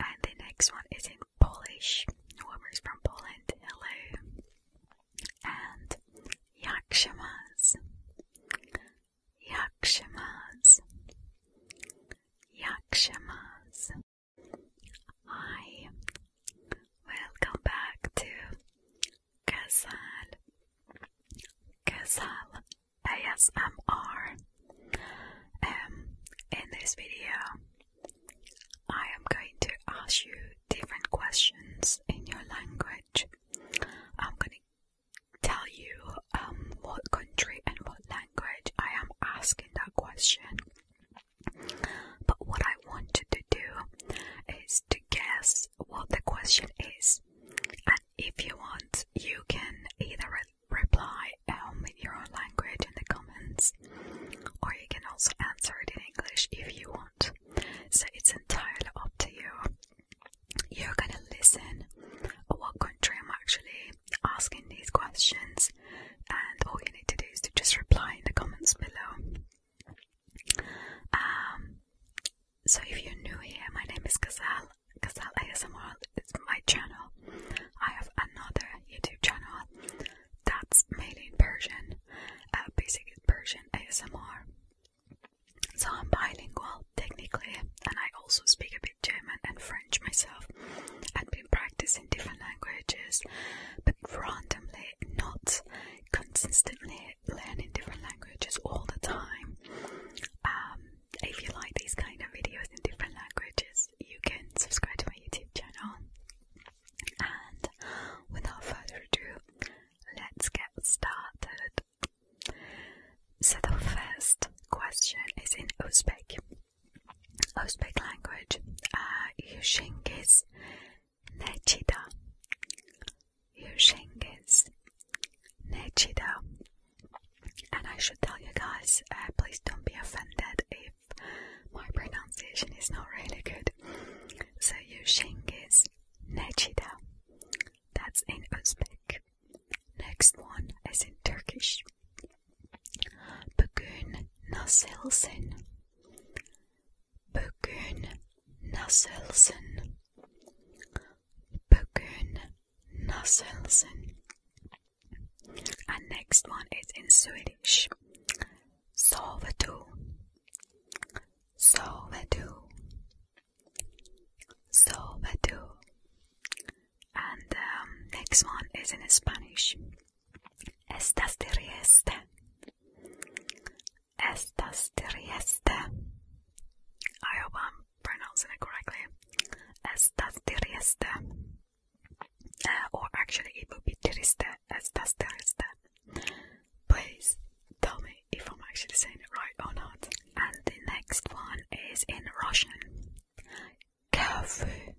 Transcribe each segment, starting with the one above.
And the next one is in Polish. Warmer from Poland. Hello. And Yakshimas. Yakshimas. Yakshimas. Hi. Welcome back to Kazal. Kazal ASMR. Um, in this video, I am going to ask you different questions in your language. I'm going to tell you um, what country and what language I am asking that question. But what I want you to do is to guess what the question is. And if you want, you can either reply um, your own language in the comments, or you can also answer it in English if you want. So it's entirely up to you. You're gonna listen what country I'm actually asking these questions, and all you need to do is to just reply in the comments below. Um, so if you're new here, my name is Gazelle Gazelle ASMR is my channel. I have another YouTube channel that's mainly in Persian, uh, basic Persian ASMR. So I'm bilingual technically, and I also speak a bit German and French myself. I've been practicing different languages, but randomly, not consistently learning different languages all the time. Um, if you like these kind of videos in different languages, you can subscribe to my YouTube channel. And without further ado, let's get started. So the first question is in Uzbek. Uzbek language. Yushingiz uh, Nechida. Yushingiz Nechida. And I should tell you guys, uh, please don't be offended if my pronunciation is not really good. So Yushing is Nechida. That's in Uzbek. Next one is in Turkish. Bugün nasılsın? Bugün nasılsın? Bugün Naselsen. And next one is in Swedish. Sovetu. Sovetu. Sovetu. And um, next one is in Spanish. Estas de Rieste. Estas de Rieste. I pronouncing it correctly, Estás triste, uh, or actually it would be triste, estás triste. Please tell me if I'm actually saying it right or not. And the next one is in Russian. как вы,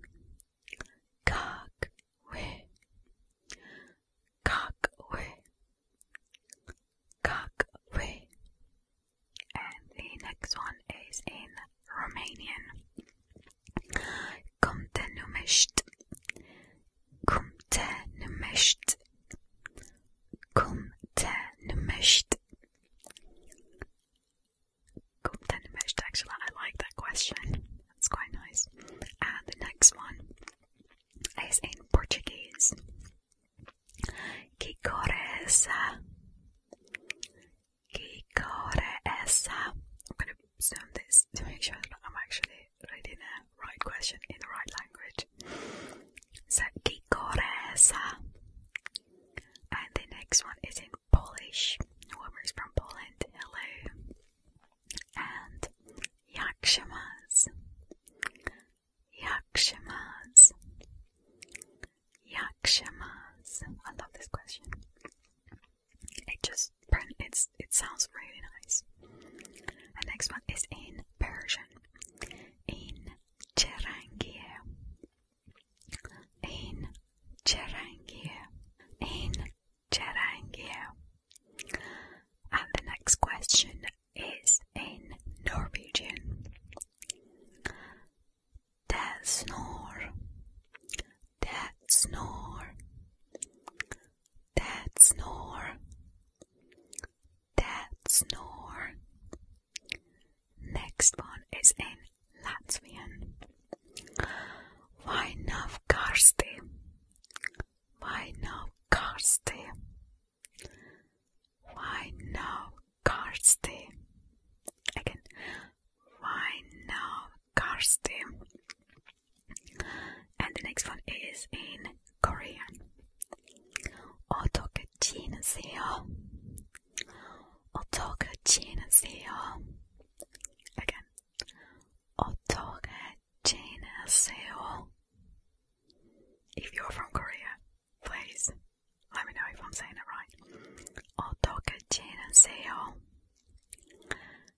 как вы, как вы, and the next one is in Romanian. Cum te numești? Cum te numești? Cum te numești? Cum te numești? Actually, I like that question. That's quite nice. And the next one is in Portuguese. Que cor I'm going to zoom this to make sure I'm actually reading the right question in the right language. So, And the next one is in Polish. The from Poland. Hello. And Yakshamas. Yakshamas. Yakshamas. I love this question. It just it's it sounds really nice. The next one is in Persian. In Cherangiye. In Cherangiye. In Cherangiye. And the next question is in Norwegian. That snore, that snore, that snore, that snore. Next one is in Latvian. Vainavkarsti, Vainavkarsti, why now, Karsty? Again, why now, Karsty? And the next one is in Korean. 어떻게 지내세요? 어떻게 지내세요? Again, 어떻게 안녕하세요. If you're from Korea, please let me know if I'm saying it right. I'll talk 어떻게 지내세요?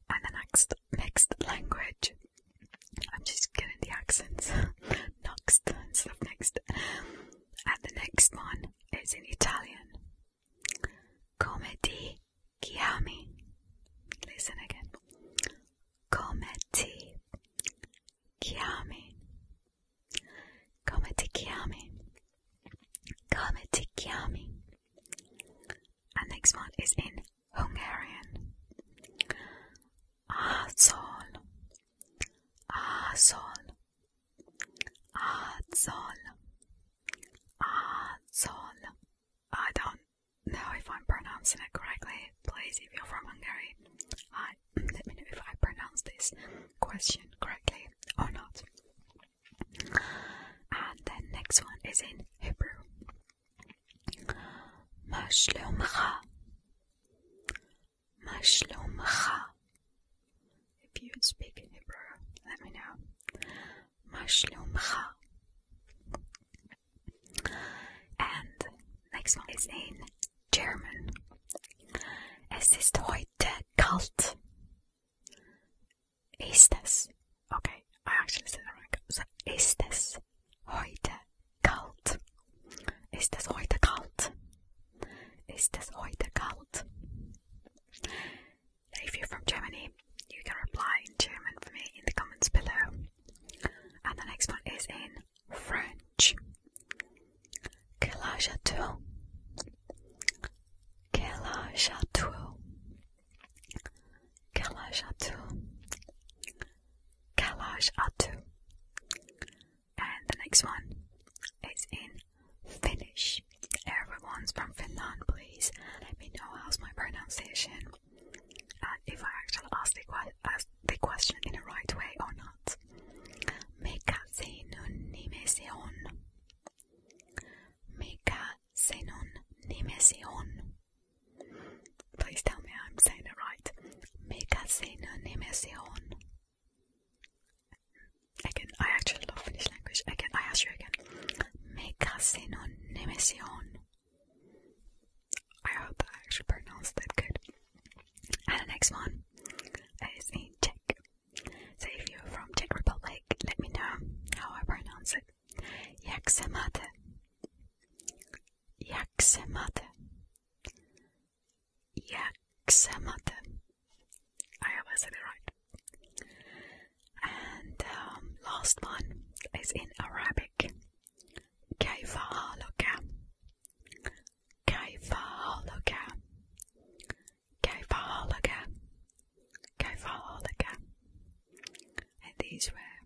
And the next mixed language. I'm just getting the accents. next next. And the next one is in Italian. Come ti chiami? Listen again come ti chiami? Come ti chiami? And next one is in Hungarian. Azol, azol, azol, azol. I don't know if I'm pronouncing it correctly. Please, if you're from Hungary, let me know if I pronounce this question correctly or not. And then next one is in Hebrew. מה שלומך? מה שלומך? If you speak in Hebrew, let me know. מה שלומך? And next one is in German. Es ist heute kalt. Ist es? Okay, I actually said it wrong. So, ist es heute kalt? Ist es heute kalt? Ist es heute kalt? If you're from Germany, you can reply in German for me in the comments below. And the next one is in French. Quel âge as-tu? Quel âge as-tu? And the next one is in Finnish. Everyone's from Finland, please. Let me know how's my pronunciation and uh, if I actually ask the, question in the right way or not. Meka senun nimesion. Meka senun nimesion. Please tell me I'm saying it right. Meka senun nimesion. Again, I actually love Finnish language. Again, I ask you again. Mekasenon Nemesion. I hope I actually pronounced that good. And the next one is in Czech. So if you're from Czech Republic, let me know how I pronounce it. Jak se máte? Jak se máte? Jak se máte? I always said it right. And um, last one is in Arabic. كيف حالك؟ كيف حالك؟ كيف حالك؟ كيف حالك؟ And these were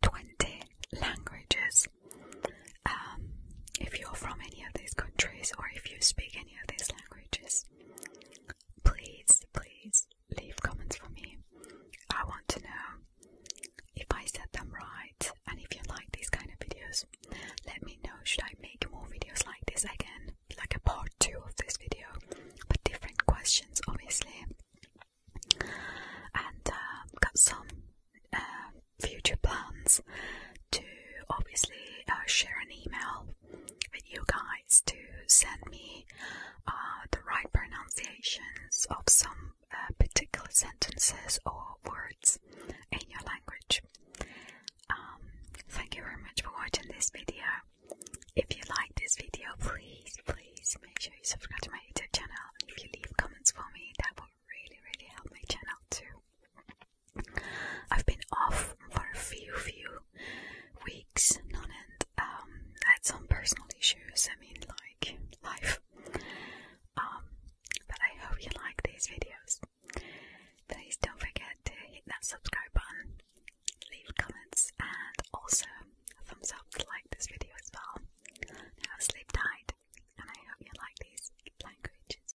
20 languages. Um, if you're from any of these countries or if you speak any of these languages, Please, please leave comments for me. I want to know if I said them right and if you like these kind of videos. Let me know should I make more videos like this again, like a part 2 of this video, but different questions obviously. And uh, got some uh, future plans to obviously uh, share an email with you guys to send me uh, the right pronunciations of some uh, particular sentences or words in your language. Um, thank you very much for watching this video. If you like this video, please, please make sure you subscribe to my YouTube channel. And if you leave comments for me, that will really, really help my channel too. I've been off for a few, few weeks, none and I um, had some personal issues, I mean, like life. Um, but I hope you like these videos. Please don't forget to hit that subscribe button, leave comments, and also thumbs up to like this video as well. Have a sleep tight, and I hope you like these languages.